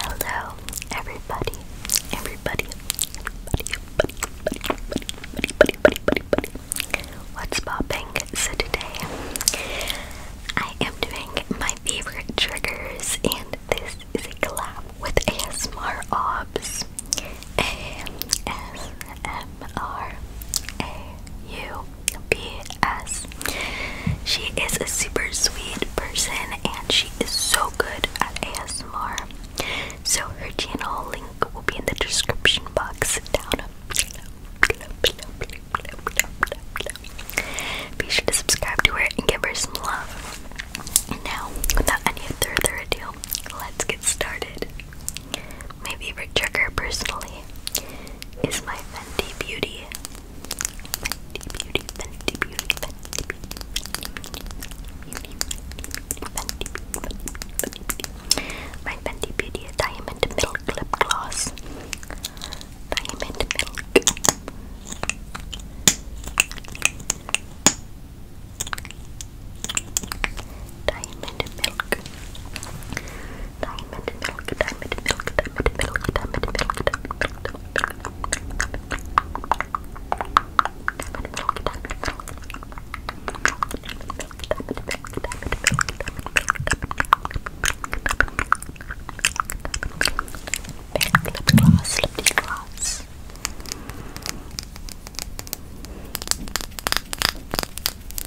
Hello, everybody, everybody, everybody, What's popping? So today, I am doing my favorite triggers, and this is a collab with ASMR Obs. A S M R A U BS. She is a super sweet person and she is so good at ASMR. So her channel link will be in the description box down below. Be sure to subscribe to her and give her some love. And now, without any further ado, let's get started. My favorite trigger, personally, is my Fenty Beauty. Fenty Beauty, Fenty Beauty, Fenty Beauty, My Fenty Beauty Diamond Milk Lip Gloss. Diamond Milk. Diamond Milk. Diamond milk, diamond milk, diamond milk, diamond milk, diamond milk, diamond milk, diamond milk,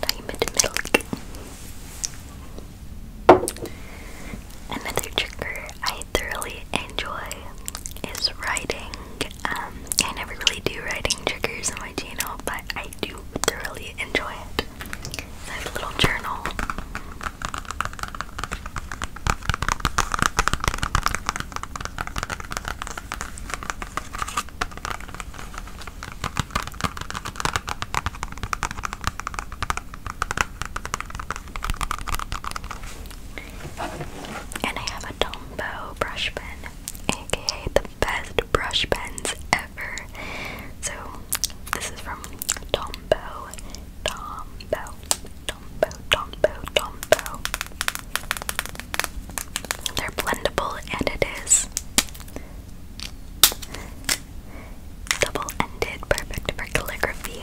Diamond milk. Another trigger I thoroughly enjoy is writing. Um, I never really do writing triggers on my channel, but I do thoroughly enjoy it. So a little journal. And I have a Tombow brush pen, aka the best brush pens ever. So this is from Tombow. Tombow. They're blendable and it is double-ended, perfect for calligraphy.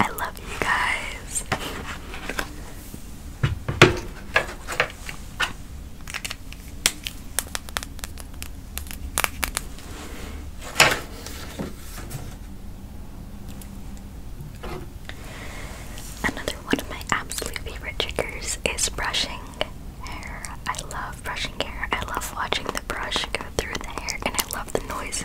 I love you guys. Another one of my absolute favorite triggers is brushing hair. I love brushing hair. I love watching the brush go through the hair and I love the noises.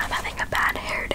I'm having a bad hair day.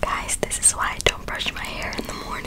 Guys, this is why I don't brush my hair in the morning.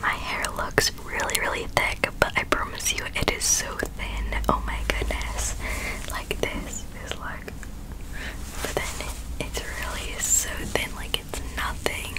My hair looks really, really thick, but I promise you it is so thin. Oh my goodness. Like this is like but then it's really so thin, like it's nothing.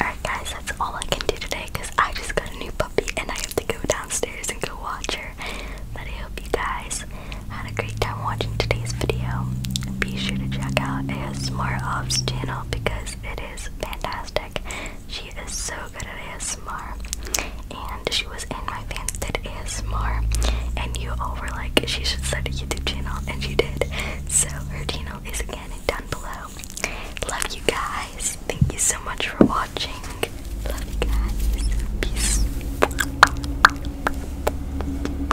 Alright, guys, that's all I can do today because I just got a new puppy and I have to go downstairs and go watch her. But I hope you guys had a great time watching today's video. Be sure to check out ASMR Ops channel because it is fantastic. She is so good at ASMR, and she was in my fans that ASMR, and you all were like, she should start a YouTube channel, and she did. So her channel is again down below. Love you guys. Thank you so much for watching. Love you guys. Peace.